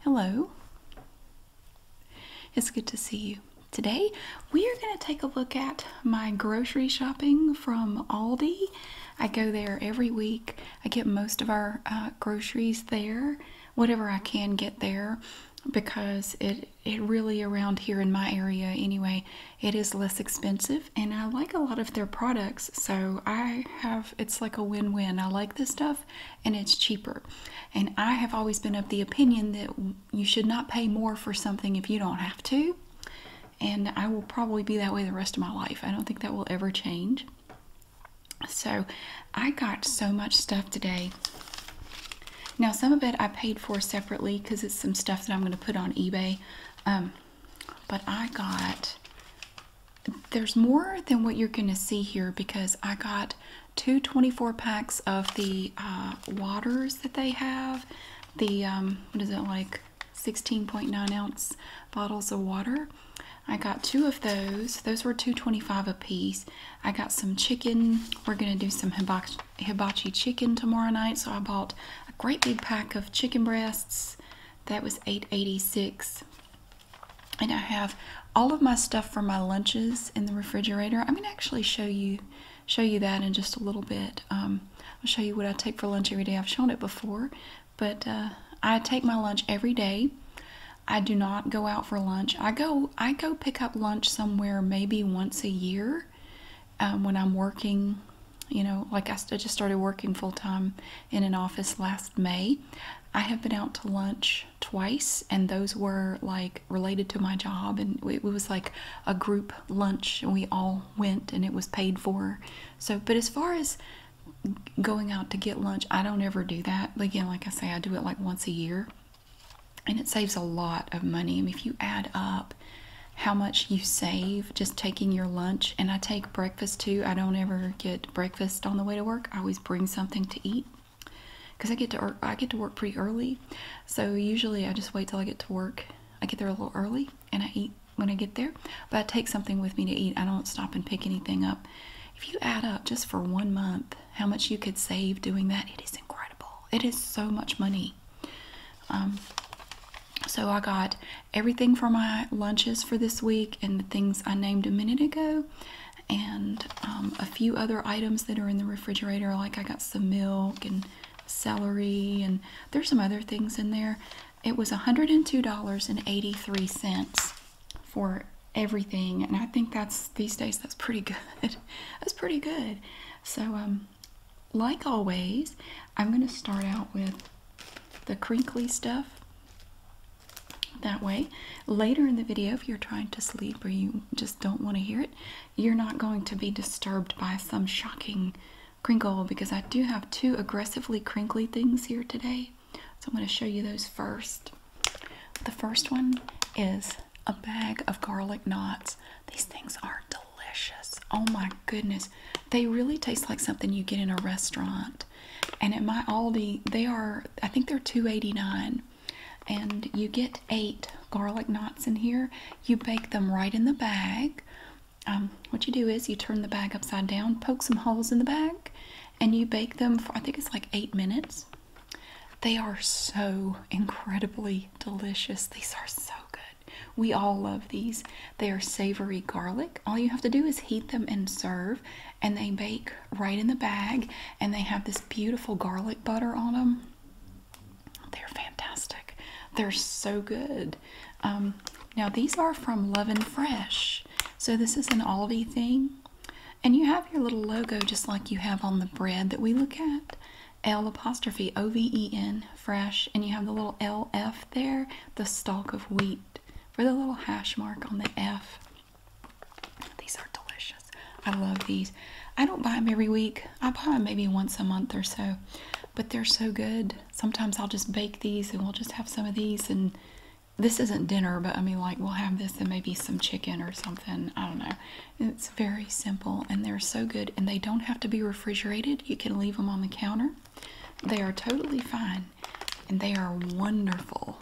Hello. It's good to see you. Today we are going to take a look at my grocery shopping from Aldi. I go there every week. I get most of our uh, groceries there, whatever I can get there because it it really around here in my area anyway, it is less expensive and I like a lot of their products. So I have it's like a win-win. I like this stuff and it's cheaper. And I have always been of the opinion that you should not pay more for something if you don't have to. And I will probably be that way the rest of my life. I don't think that will ever change. So I got so much stuff today. Now, some of it I paid for separately because it's some stuff that I'm going to put on eBay. Um, but I got there's more than what you're going to see here because I got two 24 packs of the uh, waters that they have. The, um, what is it, like 16.9 ounce bottles of water. I got two of those. Those were 2.25 a piece. I got some chicken. We're going to do some hibachi chicken tomorrow night. So I bought a great big pack of chicken breasts. That was 8.86 and I have all of my stuff for my lunches in the refrigerator. I'm gonna actually show you show you that in just a little bit. Um, I'll show you what I take for lunch every day. I've shown it before, but uh, I take my lunch every day. I do not go out for lunch. I go I go pick up lunch somewhere maybe once a year um, when I'm working. You know, like I just started working full time in an office last May. I have been out to lunch twice, and those were like related to my job. And it was like a group lunch, and we all went, and it was paid for. So, but as far as going out to get lunch, I don't ever do that. But Again, like I say, I do it like once a year, and it saves a lot of money. And if you add up how much you save just taking your lunch, and I take breakfast too. I don't ever get breakfast on the way to work. I always bring something to eat because I get to work, I get to work pretty early. So usually I just wait till I get to work. I get there a little early and I eat when I get there, but I take something with me to eat. I don't stop and pick anything up. If you add up just for one month how much you could save doing that, it is incredible. It is so much money. Um, so I got everything for my lunches for this week and the things I named a minute ago and um, a few other items that are in the refrigerator. Like I got some milk and celery, and there's some other things in there. It was $102.83 for everything, and I think that's these days that's pretty good. that's pretty good. So, um, like always, I'm going to start out with the crinkly stuff. That way, later in the video, if you're trying to sleep or you just don't want to hear it, you're not going to be disturbed by some shocking crinkle because I do have two aggressively crinkly things here today. So I'm going to show you those first. The first one is a bag of garlic knots. These things are delicious. Oh my goodness. They really taste like something you get in a restaurant. And at my Aldi, they are, I think they're $2.89. And you get eight garlic knots in here. You bake them right in the bag. Um, what you do is you turn the bag upside down, poke some holes in the bag, and you bake them for, I think it's like eight minutes. They are so incredibly delicious. These are so good. We all love these. They are savory garlic. All you have to do is heat them and serve, and they bake right in the bag, and they have this beautiful garlic butter on them. They're fantastic. They're so good. Um, now, these are from Love and Fresh. So, this is an Aldi thing. And you have your little logo just like you have on the bread that we look at. L apostrophe O V E N fresh, and you have the little L F there, the stalk of wheat for the little hash mark on the F. These are delicious. I love these. I don't buy them every week. I buy them maybe once a month or so, but they're so good. Sometimes I'll just bake these and we'll just have some of these. And this isn't dinner, but I mean, like, we'll have this and maybe some chicken or something. I don't know. It's very simple and they're so good. And they don't have to be refrigerated, you can leave them on the counter. They are totally fine and they are wonderful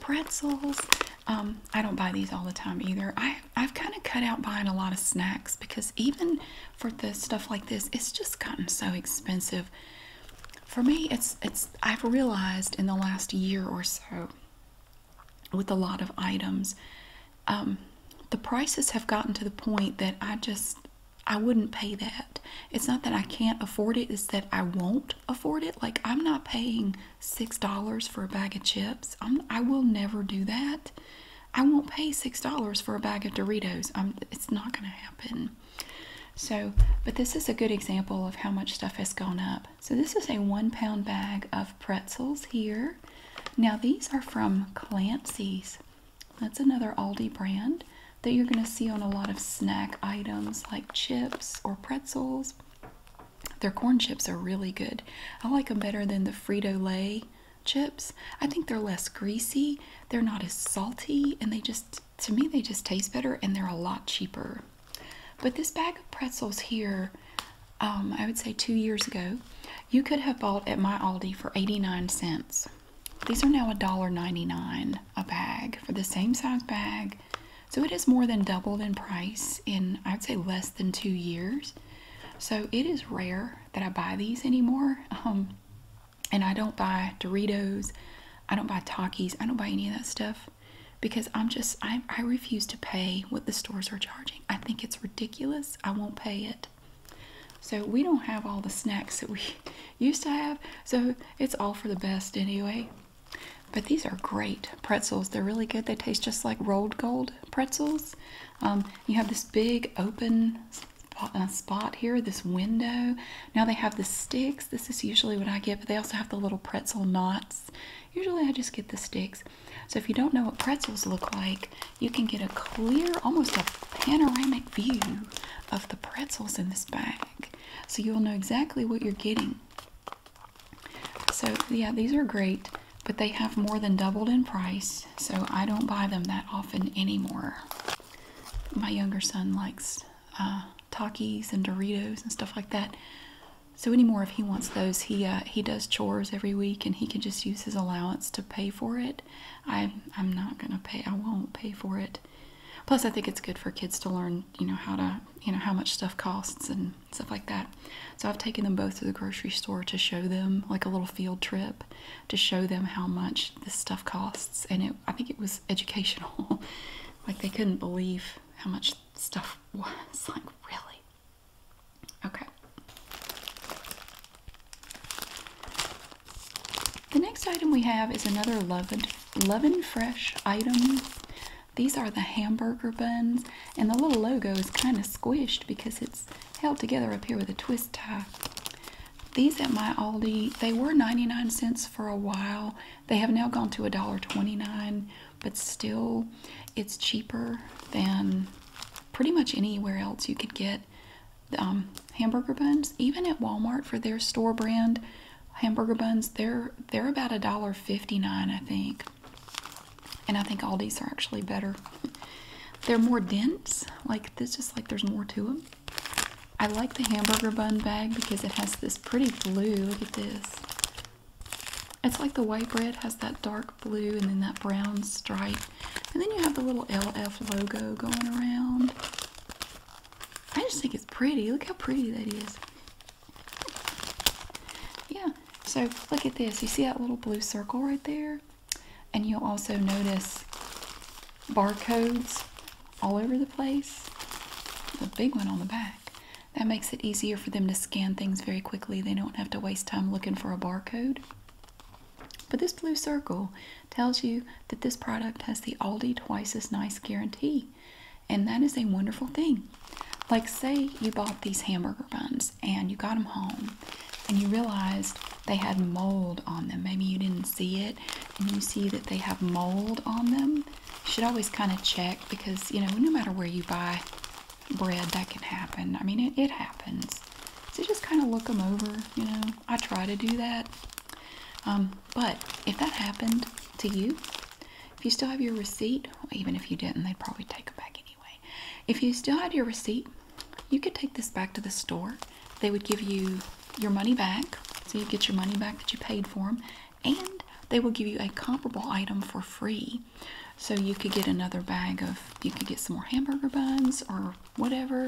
pretzels. Um, I don't buy these all the time either. I, have kind of cut out buying a lot of snacks because even for the stuff like this, it's just gotten so expensive. For me, it's it's I've realized in the last year or so with a lot of items, um, the prices have gotten to the point that I just I wouldn't pay that. It's not that I can't afford it, it's that I won't afford it. Like, I'm not paying $6 for a bag of chips. i will never do that. I won't pay $6 for a bag of Doritos. it's not going to happen. So, but this is a good example of how much stuff has gone up. So, this is a one pound bag of pretzels here. Now, these are from Clancy's. That's another Aldi brand that you're going to see on a lot of snack items like chips or pretzels. Their corn chips are really good. I like them better than the Frito Lay chips. I think they're less greasy, they're not as salty, and they just, to me, they just taste better and they're a lot cheaper. But this bag of pretzels here, um, I would say two years ago, you could have bought at my Aldi for 89 cents. These are now $1.99 a bag for the same size bag. So it is more than doubled in price in, I'd say, less than two years. So it is rare that I buy these anymore. Um, and I don't buy Doritos. I don't buy Takis. I don't buy any of that stuff because I'm just, I, I refuse to pay what the stores are charging. I think it's ridiculous. I won't pay it. So we don't have all the snacks that we used to have. So it's all for the best anyway. But these are great pretzels. They're really good. They taste just like rolled gold pretzels. Um, you have this big open uh, spot here, this window. Now they have the sticks. This is usually what I get, but they also have the little pretzel knots. Usually I just get the sticks. So if you don't know what pretzels look like, you can get a clear, almost a panoramic view of the pretzels in this bag so you'll know exactly what you're getting. So, yeah, these are great, but they have more than doubled in price, so I don't buy them that often anymore. My younger son likes uh, Takis and Doritos and stuff like that. So anymore, if he wants those, he uh, he does chores every week, and he can just use his allowance to pay for it. I I'm not gonna pay. I won't pay for it. Plus, I think it's good for kids to learn, you know, how to, you know, how much stuff costs and stuff like that. So I've taken them both to the grocery store to show them, like a little field trip, to show them how much this stuff costs. And I think it was educational. like they couldn't believe how much stuff was. Like really. Okay. The next item we have is another Love and, Fresh item. These are the hamburger buns, and the little logo is kind of squished because it's held together up here with a twist tie. These at my Aldi, they were 99 cents for a while. They have now gone to $1.29, but still it's cheaper than pretty much anywhere else you could get um, hamburger buns. Even at Walmart for their store brand, hamburger buns they're they're about a dollar 59 I think and I think Aldi's are actually better they're more dense like this just like there's more to them I like the hamburger bun bag because it has this pretty blue look at this it's like the white bread has that dark blue and then that brown stripe and then you have the little LF logo going around I just think it's pretty. Look how pretty that is. Yeah, so look at this. You see that little blue circle right there? And you'll also notice barcodes all over the place. The big one on the back. That makes it easier for them to scan things very quickly. They don't have to waste time looking for a barcode. But this blue circle tells you that this product has the Aldi Twice as Nice guarantee. And that is a wonderful thing. Like, say you bought these hamburger buns and you got them home and you realized they had mold on them. Maybe you didn't see it and you see that they have mold on them. You should always kind of check because, you know, no matter where you buy bread, that can happen. I mean, it, it happens. So just kind of look them over, you know. I try to do that. Um, but if that happened to you, if you still have your receipt, even if you didn't, they'd probably take it back anyway. If you still had your receipt, you could take this back to the store. They would give you your money back, so you get your money back that you paid for them, and they will give you a comparable item for free. So you could get another bag of, you could get some more hamburger buns or whatever,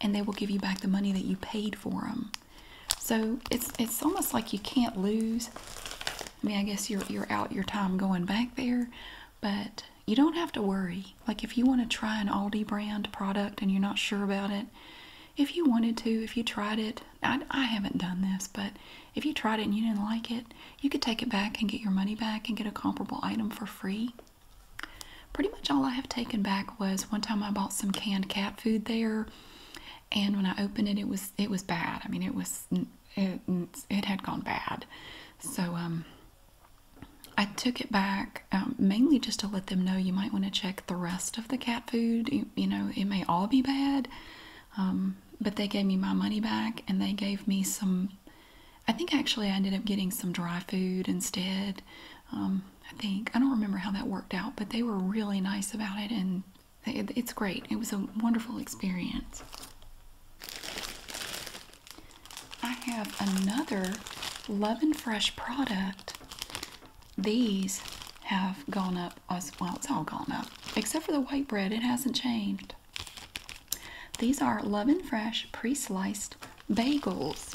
and they will give you back the money that you paid for them. So it's it's almost like you can't lose. I mean, I guess you're you're out your time going back there, but you don't have to worry. Like if you want to try an Aldi brand product and you're not sure about it, if you wanted to, if you tried it, I, I haven't done this, but if you tried it and you didn't like it, you could take it back and get your money back and get a comparable item for free. Pretty much all I have taken back was one time I bought some canned cat food there and when I opened it it was it was bad I mean it was it, it had gone bad so um, I took it back um, mainly just to let them know you might want to check the rest of the cat food you, know it may all be bad um, but they gave me my money back and they gave me some I think actually I ended up getting some dry food instead I think. I don't remember how that worked out, but they were really nice about it and it's great. It was a wonderful experience. I have another Love and Fresh product. These have gone up well. It's all gone up except for the white bread. It hasn't changed. These are Love and Fresh pre-sliced bagels.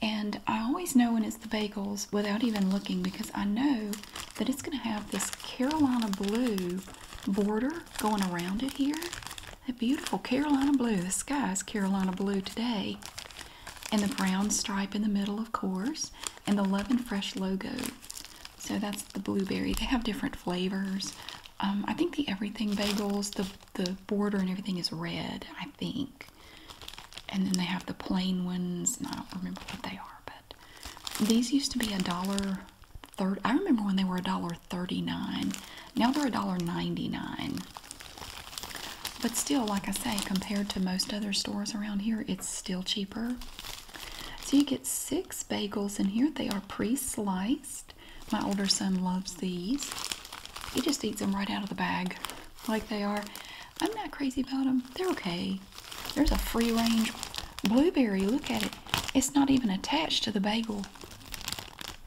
And I always know when it's the bagels without even looking because I know that it's going to have this Carolina blue border going around it here. That beautiful Carolina blue. The sky is Carolina blue today. And the brown stripe in the middle, of course, and the Love and Fresh logo. So that's the blueberry. They have different flavors. Um, I think the everything bagels, the, the border and everything is red, I think. And then they have the plain ones, I don't remember what they are, but these used to be a dollar thirty. I remember when they were a dollar thirty-nine. Now they're a dollar ninety-nine. But still, like I say, compared to most other stores around here, it's still cheaper. So you get six bagels in here. They are pre-sliced. My older son loves these. He just eats them right out of the bag, like they are. I'm not crazy about them. They're okay. There's a free range blueberry. Look at it. It's not even attached to the bagel.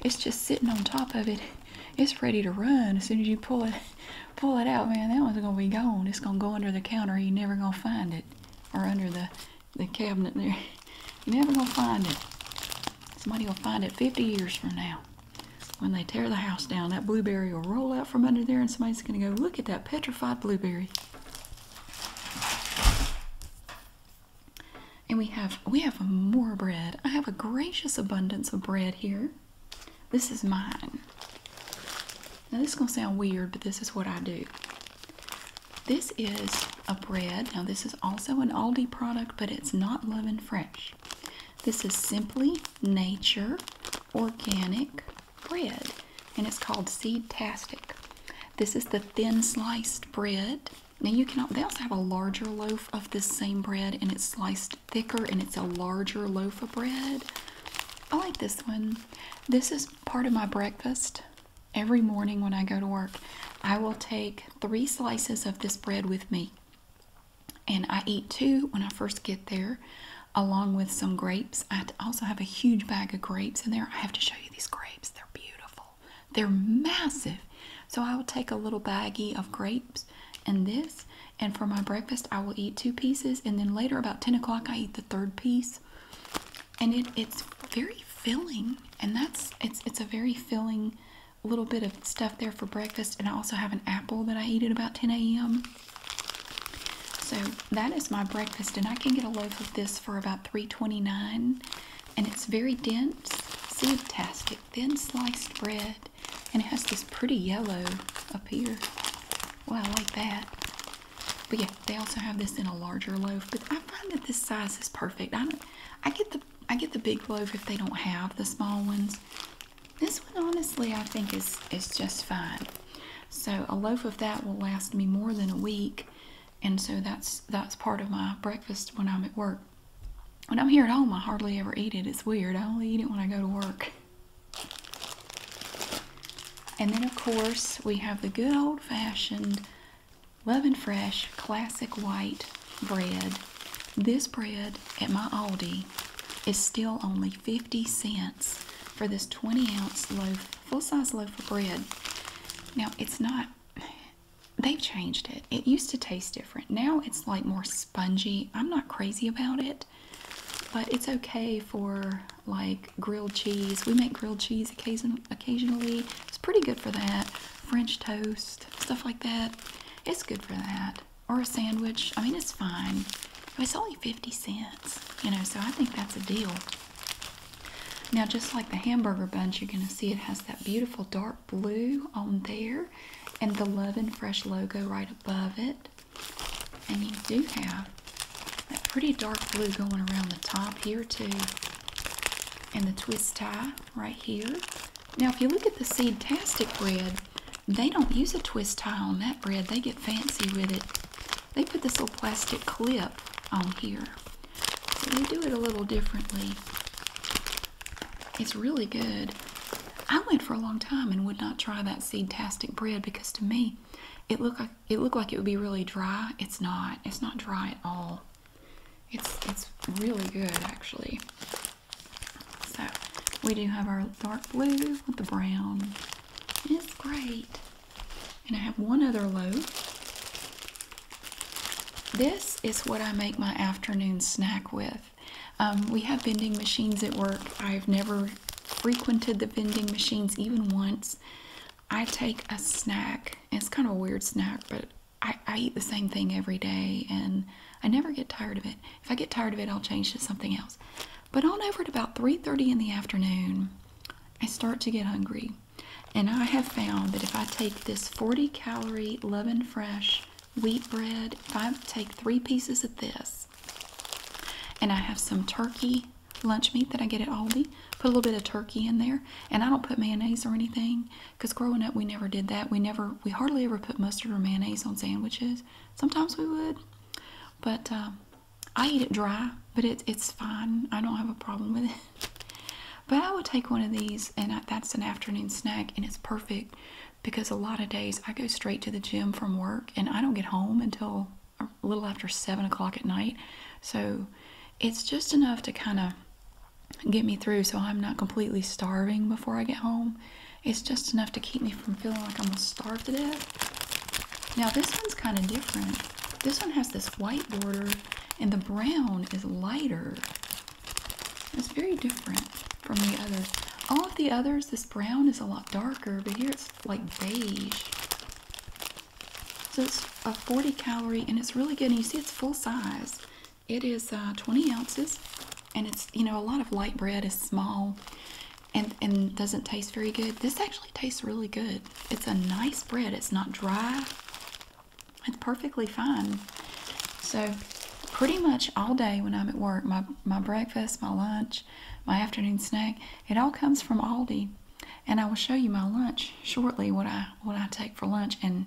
It's just sitting on top of it. It's ready to run as soon as you pull it pull it out, man. That one's gonna be gone. It's gonna go under the counter. You're never gonna find it. Or under the, the cabinet there. You're never gonna find it. Somebody gonna find it 50 years from now. When they tear the house down, that blueberry will roll out from under there, and somebody's going to go, Look at that petrified blueberry. And we have we have more bread. I have a gracious abundance of bread here. This is mine. Now this is gonna sound weird, but this is what I do. This is a bread. Now this is also an Aldi product, but it's not leavened fresh. This is Simply Nature Organic Bread, and it's called Seedtastic. This is the thin sliced bread. Now you can they also have a larger loaf of this same bread, and it's sliced thicker, and it's a larger loaf of bread. I like this one. This is part of my breakfast every morning when I go to work. I will take three slices of this bread with me. And I eat two when I first get there, along with some grapes. I also have a huge bag of grapes in there. I have to show you these grapes, they're beautiful, they're massive. So I will take a little baggie of grapes and this, and for my breakfast, I will eat two pieces. And then later, about 10 o'clock, I eat the third piece. And it, it's very filling, and that's it's it's a very filling little bit of stuff there for breakfast. And I also have an apple that I eat at about 10 a.m. So that is my breakfast, and I can get a loaf of this for about three twenty-nine, and it's very dense, seed-tastic, thin sliced bread, and it has this pretty yellow up here. Well, I like that. But yeah, they also have this in a larger loaf. But I find that this size is perfect. I get the I get the big loaf if they don't have the small ones, this one, honestly, I think is is just fine. So a loaf of that will last me more than a week, and so that's that's part of my breakfast when I'm at work. When I'm here at home, I hardly ever eat it. It's weird. I only eat it when I go to work. And then, of course, we have the good old-fashioned Love Fresh classic white bread. This bread at my Aldi is still only 50 cents for this 20 ounce loaf, full size loaf of bread. Now it's not, they've changed it. It used to taste different. Now it's like more spongy. I'm not crazy about it, but it's okay for like grilled cheese. We make grilled cheese occasion, occasionally. It's pretty good for that. French toast, stuff like that. It's good for that or a sandwich. I mean, it's fine. It's only 50 cents, you know, so I think that's a deal. Now, just like the hamburger buns, you're going to see it has that beautiful dark blue on there and the Love and Fresh logo right above it. And you do have that pretty dark blue going around the top here, too. And the twist tie right here. Now, if you look at the Seedtastic bread, they don't use a twist tie on that bread. They get fancy with it. They put this little plastic clip on here. they do it a little differently. It's really good. I went for a long time and would not try that seed-tastic bread because to me it looked like it looked like it would be really dry. It's not. It's not dry at all. It's it's really good actually. So we do have our dark blue with the brown. It's great. And I have one other loaf. This is what I make my afternoon snack with. Um, we have vending machines at work. I've never frequented the vending machines even once. I take a snack. It's kind of a weird snack, but I eat the same thing every day and I never get tired of it. If I get tired of it, I'll change to something else. But on over at about 3:30 in the afternoon, I start to get hungry. And I have found that if I take this 40 calorie Lovin' Fresh wheat bread, if I take three pieces of this, and I have some turkey lunch meat that I get at Aldi, put a little bit of turkey in there, and I don't put mayonnaise or anything because growing up we never did that. We never, we hardly ever put mustard or mayonnaise on sandwiches. Sometimes we would, but um, I eat it dry, but it, it's fine. I don't have a problem with it. But I would take one of these, and that's an afternoon snack, and it's perfect because a lot of days I go straight to the gym from work, and I don't get home until a little after seven o'clock at night. So it's just enough to kind of get me through so I'm not completely starving before I get home. It's just enough to keep me from feeling like I'm gonna starve to death. Now this one's kind of different. This one has this white border and the brown is lighter. It's very different from the others. All of the others, this brown is a lot darker, but here it's like beige. So it's a 40 calorie and it's really good. And you see it's full size. It is uh, 20 ounces and it's, you know, a lot of light bread is small and and doesn't taste very good. This actually tastes really good. It's a nice bread. It's not dry. It's perfectly fine. So pretty much all day when I'm at work, my, my breakfast, my lunch, my afternoon snack, it all comes from Aldi. And I will show you my lunch shortly, what I what I take for lunch. And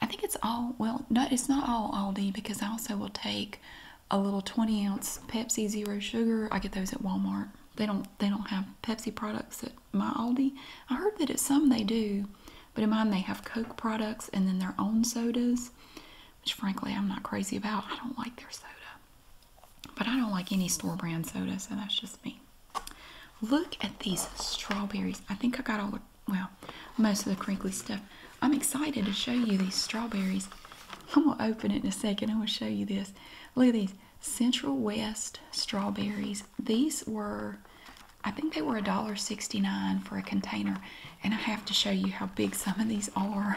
I think it's all well, no, it's not all Aldi because I also will take a little 20 ounce Pepsi Zero Sugar. I get those at Walmart. They don't they don't have Pepsi products at my Aldi. I heard that at some they do, but in mine they have Coke products and then their own sodas, which frankly I'm not crazy about. I don't like their soda. But I don't like any store brand soda, so that's just me. Look at these strawberries. I think I got all the well, most of the crinkly stuff. I'm excited to show you these strawberries. I'm going to open it in a second. I'm going to show you this. Look at these Central West strawberries. These were, I think they were a dollar sixty-nine for a container. And I have to show you how big some of these are.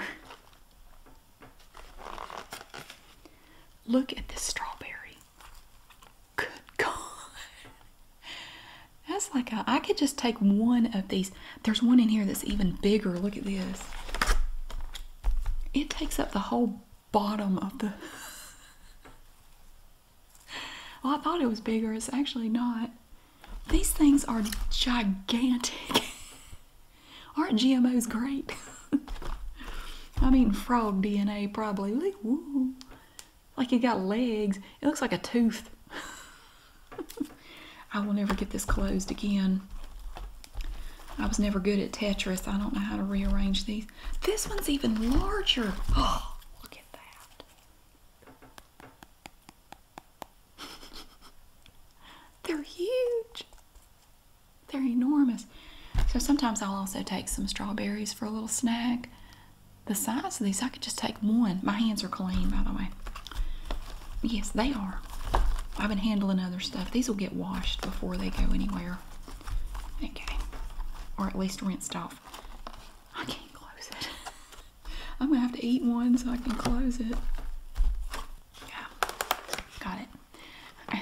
Look at this strawberry. Good God. That's like a, I could just take one of these. There's one in here that's even bigger. Look at this. It takes up the whole bottom of the. well, I thought it was bigger. It's actually not. These things are gigantic. Aren't GMOs great? I mean, frog DNA probably. Like, woo. like it got legs. It looks like a tooth. I will never get this closed again. I was never good at Tetris. I don't know how to rearrange these. This one's even larger. Oh, look at that. They're huge. They're enormous. So sometimes I'll also take some strawberries for a little snack. The size of these, I could just take one. My hands are clean, by the way. Yes, they are. I've been handling other stuff. These will get washed before they go anywhere. Okay. Or at least rinsed off. I can't close it. I'm gonna have to eat one so I can close it. Yeah. Got it. I,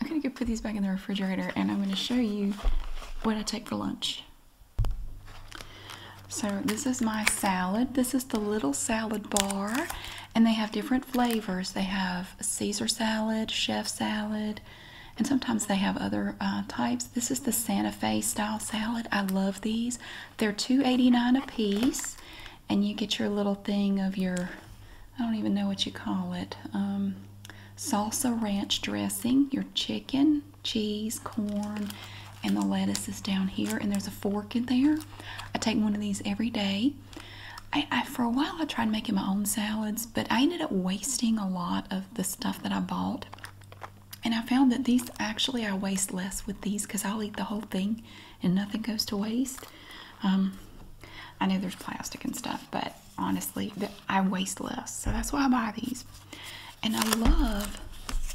am gonna go put these back in the refrigerator and I'm gonna show you what I take for lunch. So this is my salad. This is the little salad bar, and they have different flavors. They have Caesar salad, chef salad, and sometimes they have other uh, types. This is the Santa Fe style salad. I love these. they are eighty nine a piece, and you get your little thing of your, I don't even know what you call it, um, salsa ranch dressing, your chicken, cheese, corn, and the lettuce is down here and there's a fork in there. I take one of these every day. I, for a while I tried making my own salads, but I ended up wasting a lot of the stuff that I bought. And I found that these actually I waste less with these because I'll eat the whole thing and nothing goes to waste. Um, I know there's plastic and stuff, but honestly, I waste less. So that's why I buy these. And I love,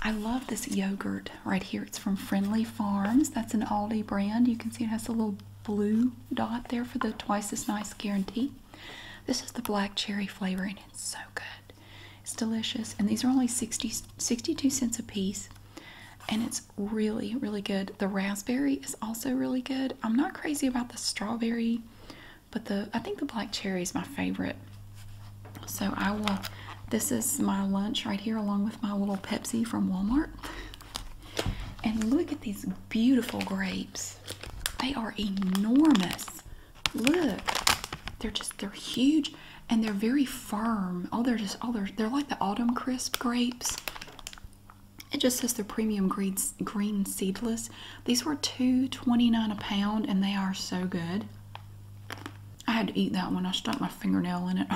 I love this yogurt right here. It's from Friendly Farms. That's an Aldi brand. You can see it has a little blue dot there for the twice as nice guarantee. This is the black cherry flavor and it's so good. It's delicious and these are only 60, 62 cents a piece and it's really really good. The raspberry is also really good. I'm not crazy about the strawberry but the I think the black cherry is my favorite. So I will, this is my lunch right here along with my little Pepsi from Walmart. And look at these beautiful grapes. They are enormous. Look, they're just, they're huge and they're very firm. Oh, they're just, oh, they're, they're like the autumn crisp grapes. It just says they're premium green, green seedless. These were two twenty nine a pound and they are so good. I had to eat that one. I stuck my fingernail in it.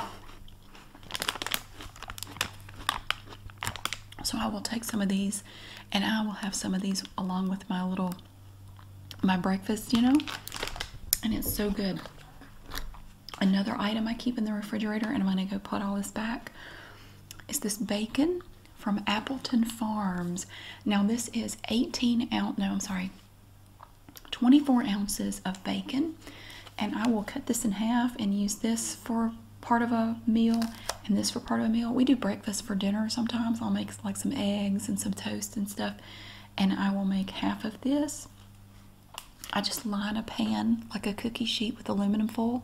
so I will take some of these and I will have some of these along with my little my breakfast, you know. And it's so good. Another item I keep in the refrigerator and I'm going to go put all this back is this bacon from Appleton Farms. Now this is 18 ounce, no, I'm sorry, 24 ounces of bacon, and I will cut this in half and use this for part of a meal and this for part of a meal. We do breakfast for dinner sometimes. I'll make like some eggs and some toast and stuff, and I will make half of this. I just line a pan like a cookie sheet with aluminum foil,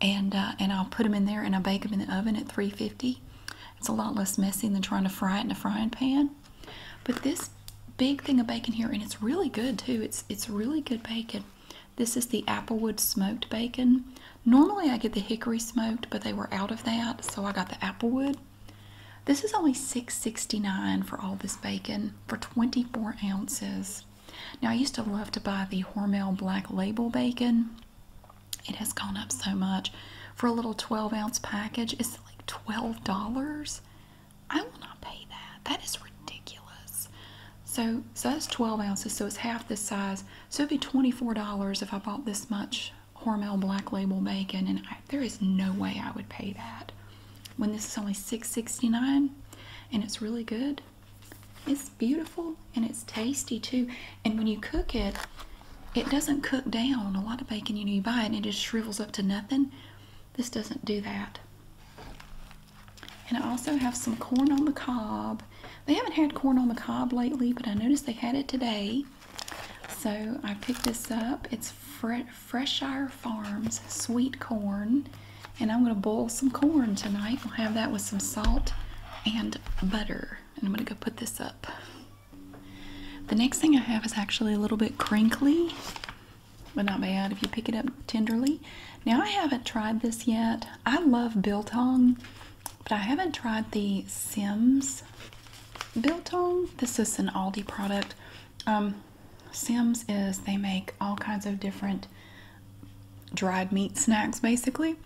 and uh, and I'll put them in there and I bake them in the oven at 350. It's a lot less messy than trying to fry it in a frying pan. But this big thing of bacon here, and it's really good too. It's it's really good bacon. This is the applewood smoked bacon. Normally I get the hickory smoked, but they were out of that, so I got the applewood. This is only $6.69 for all this bacon for 24 ounces. Now I used to love to buy the Hormel Black Label bacon. It has gone up so much. For a little 12 ounce package, it's like $12. I will not pay that. That is ridiculous. So, so that's 12 ounces, so it's half the size. So it'd be $24 if I bought this much Hormel Black Label bacon, and I, there is no way I would pay that. When this is only $6.69, and it's really good. It's beautiful and it's tasty too. And when you cook it, it doesn't cook down. A lot of bacon, you know, you buy it and it just shrivels up to nothing. This doesn't do that. And I also have some corn on the cob. They haven't had corn on the cob lately, but I noticed they had it today. So I picked this up. It's Fre Freshire Farms sweet corn. And I'm going to boil some corn tonight. We'll have that with some salt and butter. And I'm going to go put this up. The next thing I have is actually a little bit crinkly but not bad if you pick it up tenderly. Now, I haven't tried this yet. I love Biltong, but I haven't tried the Sims Biltong. This is an Aldi product. Um, Sims is they make all kinds of different dried meat snacks basically,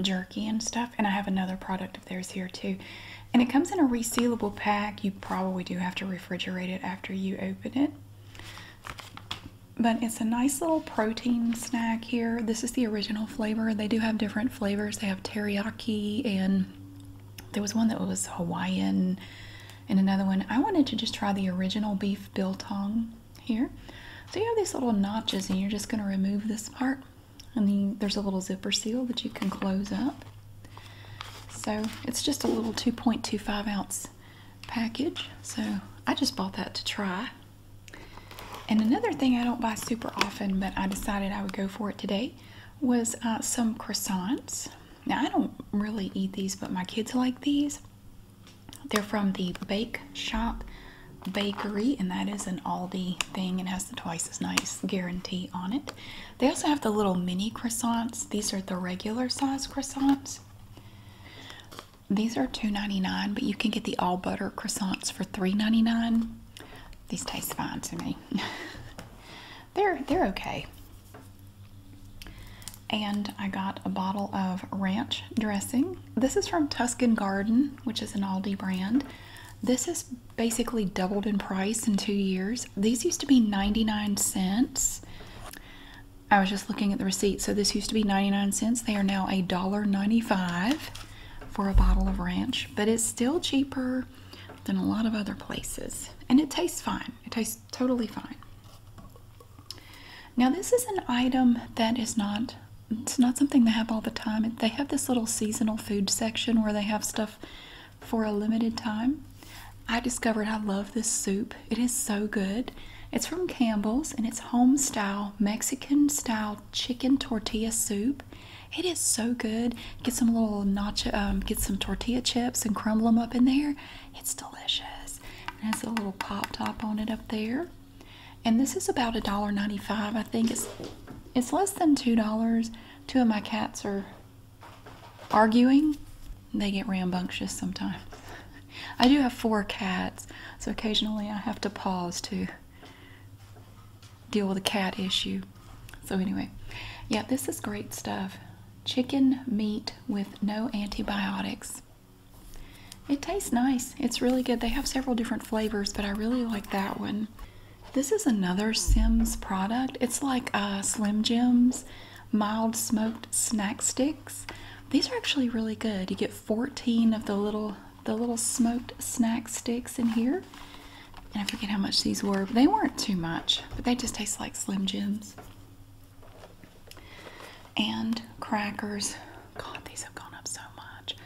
jerky and stuff. And I have another product of theirs here too. And it comes in a resealable pack. You probably do have to refrigerate it after you open it. But it's a nice little protein snack here. This is the original flavor. They do have different flavors. They have teriyaki and there was one that was Hawaiian and another one. I wanted to just try the original beef biltong here. So you have these little notches and you're just going to remove this part. And then there's a little zipper seal that you can close up. So it's just a little 2.25 ounce package. So I just bought that to try. And another thing I don't buy super often, but I decided I would go for it today, was uh, some croissants. Now, I don't really eat these, but my kids like these. They're from the Bake Shop Bakery, and that is an Aldi thing and has the twice as nice guarantee on it. They also have the little mini croissants. These are the regular size croissants. These are $2.99, but you can get the all butter croissants for $3.99. These taste fine to me. they're they're okay. And I got a bottle of ranch dressing. This is from Tuscan Garden, which is an Aldi brand. This is basically doubled in price in two years. These used to be 99 cents. I was just looking at the receipt. So this used to be 99 cents. They are now a dollar 95 for a bottle of ranch, but it's still cheaper than a lot of other places. And it tastes fine. It tastes totally fine. Now this is an item that is not it's not something they have all the time. They have this little seasonal food section where they have stuff for a limited time. I discovered I love this soup. It is so good. It's from Campbell's and it's home style, Mexican style chicken tortilla soup. It is so good. Get some little nacho, um, get some tortilla chips and crumble them up in there. It's delicious. It has a little pop top on it up there. And this is about a dollar ninety five. I think it's it's less than $2. Two of my cats are arguing, they get rambunctious sometimes. I do have four cats, so occasionally I have to pause to deal with a cat issue. So, anyway, yeah, this is great stuff. Chicken meat with no antibiotics. It tastes nice. It's really good. They have several different flavors, but I really like that one. This is another Sims product. It's like uh, Slim Jims mild smoked snack sticks. These are actually really good. You get 14 of the little the little smoked snack sticks in here. And I forget how much these were. But they weren't too much, but they just taste like Slim Jims. And crackers. God, these have gone up so much.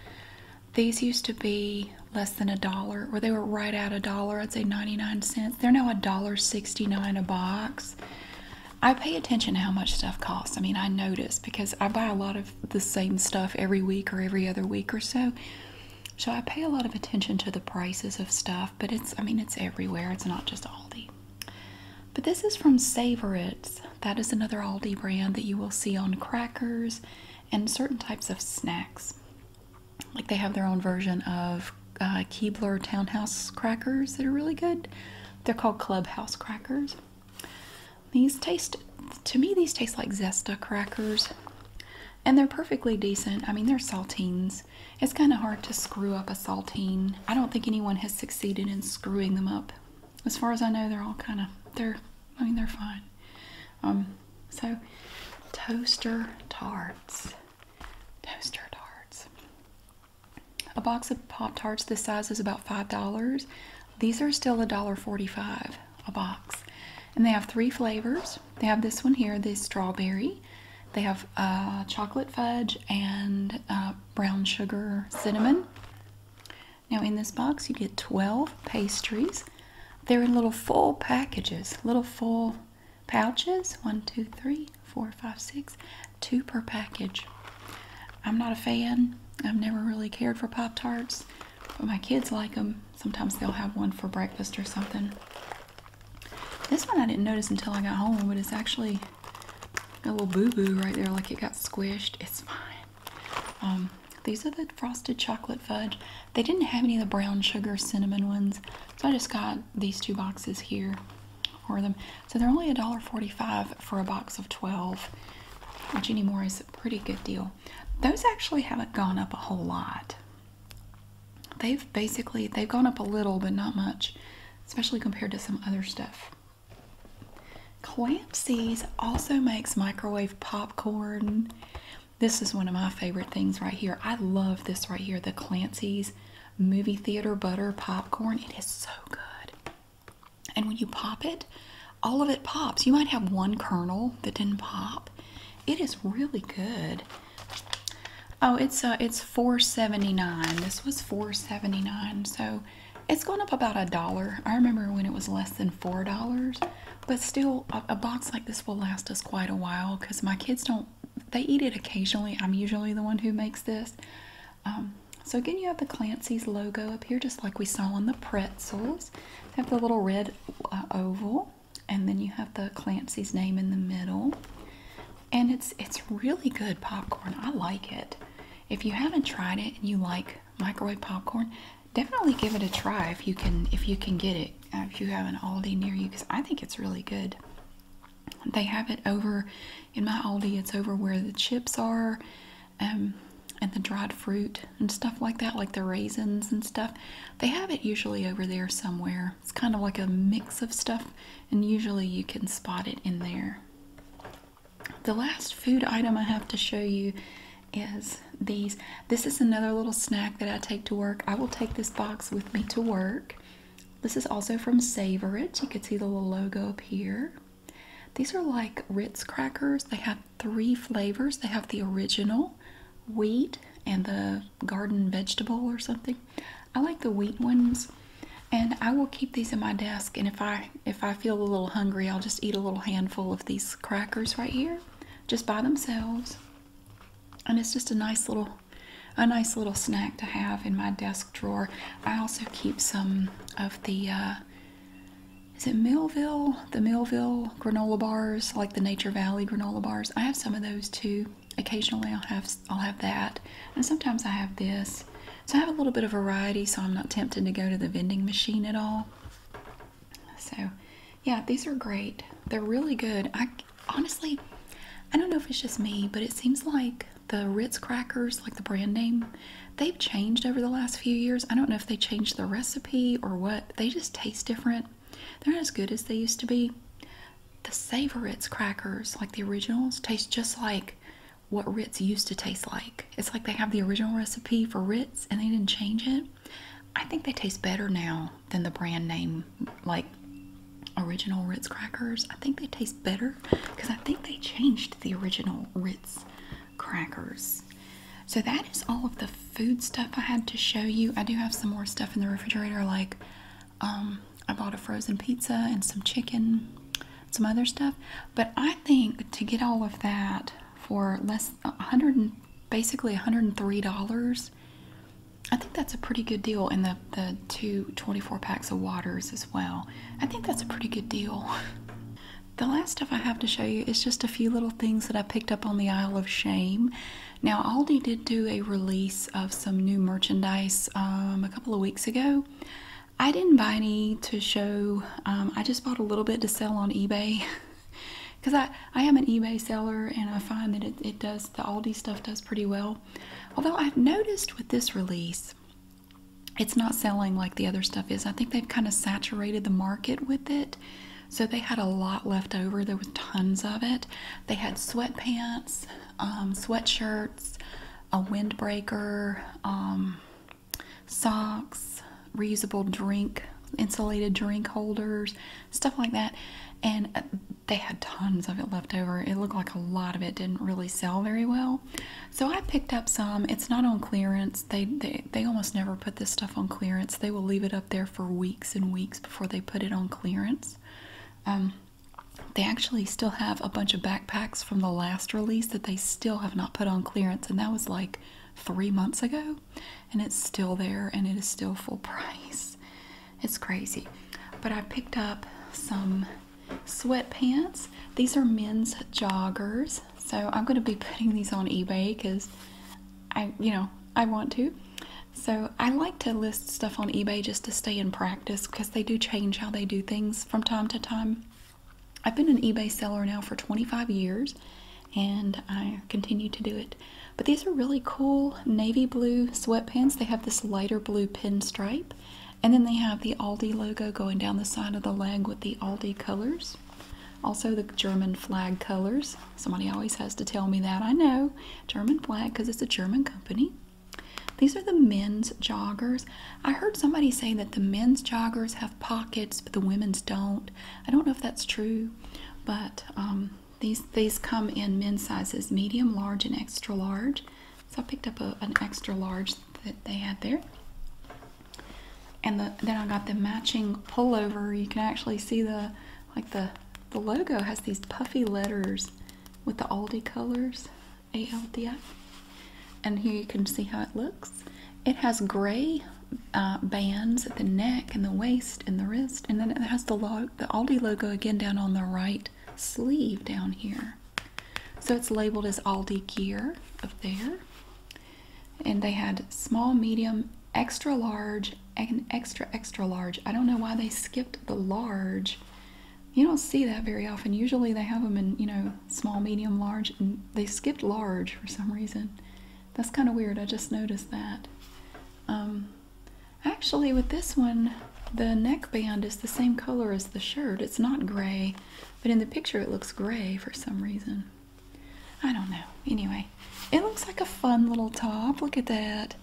These used to be less than a dollar, or they were right at a dollar. I'd say 99 cents. They're now $1.69 a box. I pay attention to how much stuff costs. I mean, I notice because I buy a lot of the same stuff every week or every other week or so. So I pay a lot of attention to the prices of stuff, but it's, I mean, it's everywhere. It's not just Aldi. But this is from Savor That is another Aldi brand that you will see on crackers and certain types of snacks like they have their own version of uh, Keebler Townhouse crackers that are really good. They're called Clubhouse crackers. These taste, to me, these taste like Zesta crackers. And they're perfectly decent. I mean, they're saltines. It's kind of hard to screw up a saltine. I don't think anyone has succeeded in screwing them up. As far as I know, they're all kind of, they're, I mean, they're fine. Um, so, toaster tarts. Toaster tarts. A box of Pop Tarts this size is about $5. These are still $1.45 a box. And they have three flavors. They have this one here, this strawberry. They have uh, chocolate fudge and uh, brown sugar cinnamon. Now in this box you get 12 pastries. They're in little full packages, little full pouches one, two, three, four, five, six, two per package. I'm not a fan, I've never really cared for Pop Tarts, but my kids like them. Sometimes they'll have one for breakfast or something. This one I didn't notice until I got home, but it's actually a little boo-boo right there, like it got squished. It's fine. Um, these are the frosted chocolate fudge. They didn't have any of the brown sugar cinnamon ones, so I just got these two boxes here for them. So they're only $1.45 for a box of 12, which anymore is a pretty good deal. Those actually haven't gone up a whole lot. They've basically, they've gone up a little, but not much, especially compared to some other stuff. Clancy's also makes microwave popcorn. This is one of my favorite things right here. I love this right here, the Clancy's movie theater butter popcorn. It is so good. And when you pop it, all of it pops. You might have one kernel that didn't pop. It is really good. Oh, it's uh, it's 4.79. This was 4.79, so it's gone up about a dollar. I remember when it was less than four dollars, but still, a box like this will last us quite a while because my kids don't they eat it occasionally. I'm usually the one who makes this. Um, so again, you have the Clancy's logo up here, just like we saw on the pretzels. They have the little red uh, oval, and then you have the Clancy's name in the middle. And it's it's really good popcorn. I like it. If you haven't tried it and you like microwave popcorn, definitely give it a try if you can if you can get it. Uh, if you have an Aldi near you, because I think it's really good. They have it over in my Aldi, it's over where the chips are um, and the dried fruit and stuff like that, like the raisins and stuff. They have it usually over there somewhere. It's kind of like a mix of stuff, and usually you can spot it in there. The last food item I have to show you is these. This is another little snack that I take to work. I will take this box with me to work. This is also from Savor You can see the little logo up here. These are like Ritz crackers. They have three flavors. They have the original wheat and the garden vegetable or something. I like the wheat ones. And I will keep these in my desk and if I if I feel a little hungry, I'll just eat a little handful of these crackers right here just by themselves. And it's just a nice little a nice little snack to have in my desk drawer. I also keep some of the uh, is it Millville? The Millville granola bars, like the Nature Valley granola bars. I have some of those too. Occasionally, I'll have I'll have that, and sometimes I have this. So I have a little bit of variety, so I'm not tempted to go to the vending machine at all. So, yeah, these are great. They're really good. I honestly, I don't know if it's just me, but it seems like the Ritz crackers, like the brand name, they've changed over the last few years. I don't know if they changed the recipe or what. They just taste different. They're not as good as they used to be. The Savor crackers, like the originals, taste just like what Ritz used to taste like. It's like they have the original recipe for Ritz and they didn't change it. I think they taste better now than the brand name, like original Ritz crackers. I think they taste better because I think they changed the original Ritz crackers. So that is all of the food stuff I had to show you. I do have some more stuff in the refrigerator, like um, I bought a frozen pizza and some chicken, some other stuff. But I think to get all of that for less, 100 basically $103 I think that's a pretty good deal. And the, the two 24 packs of waters as well. I think that's a pretty good deal. the last stuff I have to show you is just a few little things that I picked up on the Isle of Shame. Now, Aldi did do a release of some new merchandise um, a couple of weeks ago. I didn't buy any to show. Um, I just bought a little bit to sell on eBay. because I, I am an eBay seller and I find that it, it does the Aldi stuff does pretty well Although I've noticed with this release, it's not selling like the other stuff is. I think they've kind of saturated the market with it. So they had a lot left over. There was tons of it. They had sweatpants, um, sweatshirts, a windbreaker, um, socks, reusable drink, insulated drink holders, stuff like that. And uh, they had tons of it left over. It looked like a lot of it didn't really sell very well. So I picked up some. It's not on clearance. They, they, they almost never put this stuff on clearance. They will leave it up there for weeks and weeks before they put it on clearance. Um, they actually still have a bunch of backpacks from the last release that they still have not put on clearance. And that was like three months ago. And it's still there and it is still full price. It's crazy. But I picked up some sweatpants. These are men's joggers. So I'm going to be putting these on eBay because I, you know, I want to. So I like to list stuff on eBay just to stay in practice because they do change how they do things from time to time. I've been an eBay seller now for 25 years and I continue to do it. But these are really cool navy blue sweatpants. They have this lighter blue pinstripe, and then they have the Aldi logo going down the side of the leg with the Aldi colors. Also, the German flag colors. Somebody always has to tell me that. I know. German flag because it's a German company. These are the men's joggers. I heard somebody say that the men's joggers have pockets, but the women's don't. I don't know if that's true, but um, these these come in men's sizes medium large and extra large so I picked up an extra large that they had there and then I got the matching pullover you can actually see the like the the logo has these puffy letters with the Aldi colors ALDI and here you can see how it looks it has gray uh, bands at the neck and the waist in the wrist. And then it has the, Aldi logo again down on the right sleeve down here. So it's labeled as Aldi Gear up there. And they had small, medium, extra large, and extra, extra large. I don't know why they skipped the large. You don't see that very often. Usually they have them in, you know, small, medium, large, and they skipped large for some reason. That's kind of weird. I just noticed that. Um, Actually, with this one, the neckband is the same color as the shirt. It's not gray, but in the picture it looks gray for some reason. I don't know. Anyway, it looks like a fun little top. Look at that.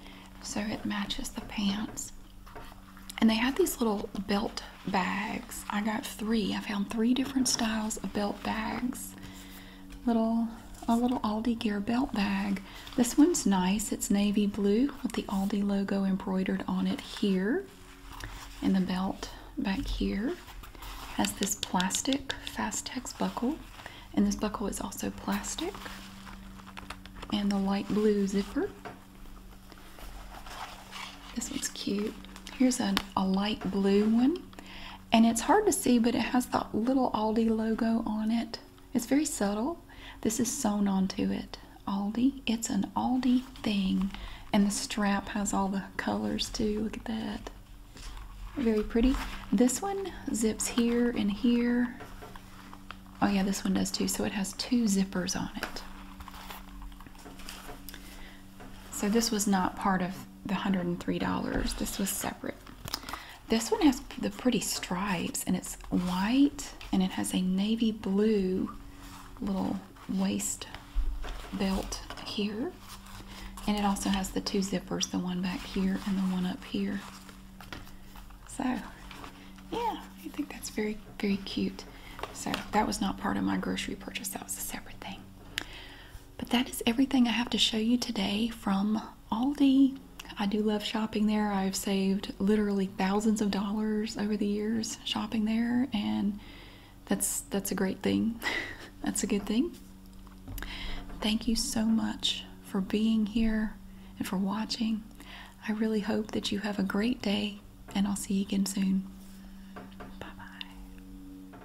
So it matches the pants. And they had these little belt bags. I got three. I found three different styles of belt bags. Little a little Aldi Gear belt bag this one's nice. It's navy blue with the Aldi logo embroidered on it here. And the belt back here has this plastic Fastex buckle. And this buckle is also plastic. And the light blue zipper. This one's cute. Here's a, light blue one. And it's hard to see, but it has that little Aldi logo on it. It's very subtle. This is sewn onto it. Aldi. It's an Aldi thing. And the strap has all the colors too. Look at that. Very pretty. This one zips here and here. Oh yeah, this one does too. So it has two zippers on it. So this was not part of the $103. This was separate. This one has the pretty stripes and it's white and it has a navy blue little waist belt here. And it also has the two zippers, the one back here and the one up here. So, yeah, I think that's very, very cute. So that was not part of my grocery purchase. That was a separate thing. But that is everything I have to show you today from Aldi. I do love shopping there. I've saved literally thousands of dollars over the years shopping there, and that's that's a great thing. that's a good thing. Thank you so much for being here and for watching. I really hope that you have a great day, and I'll see you again soon. Bye bye.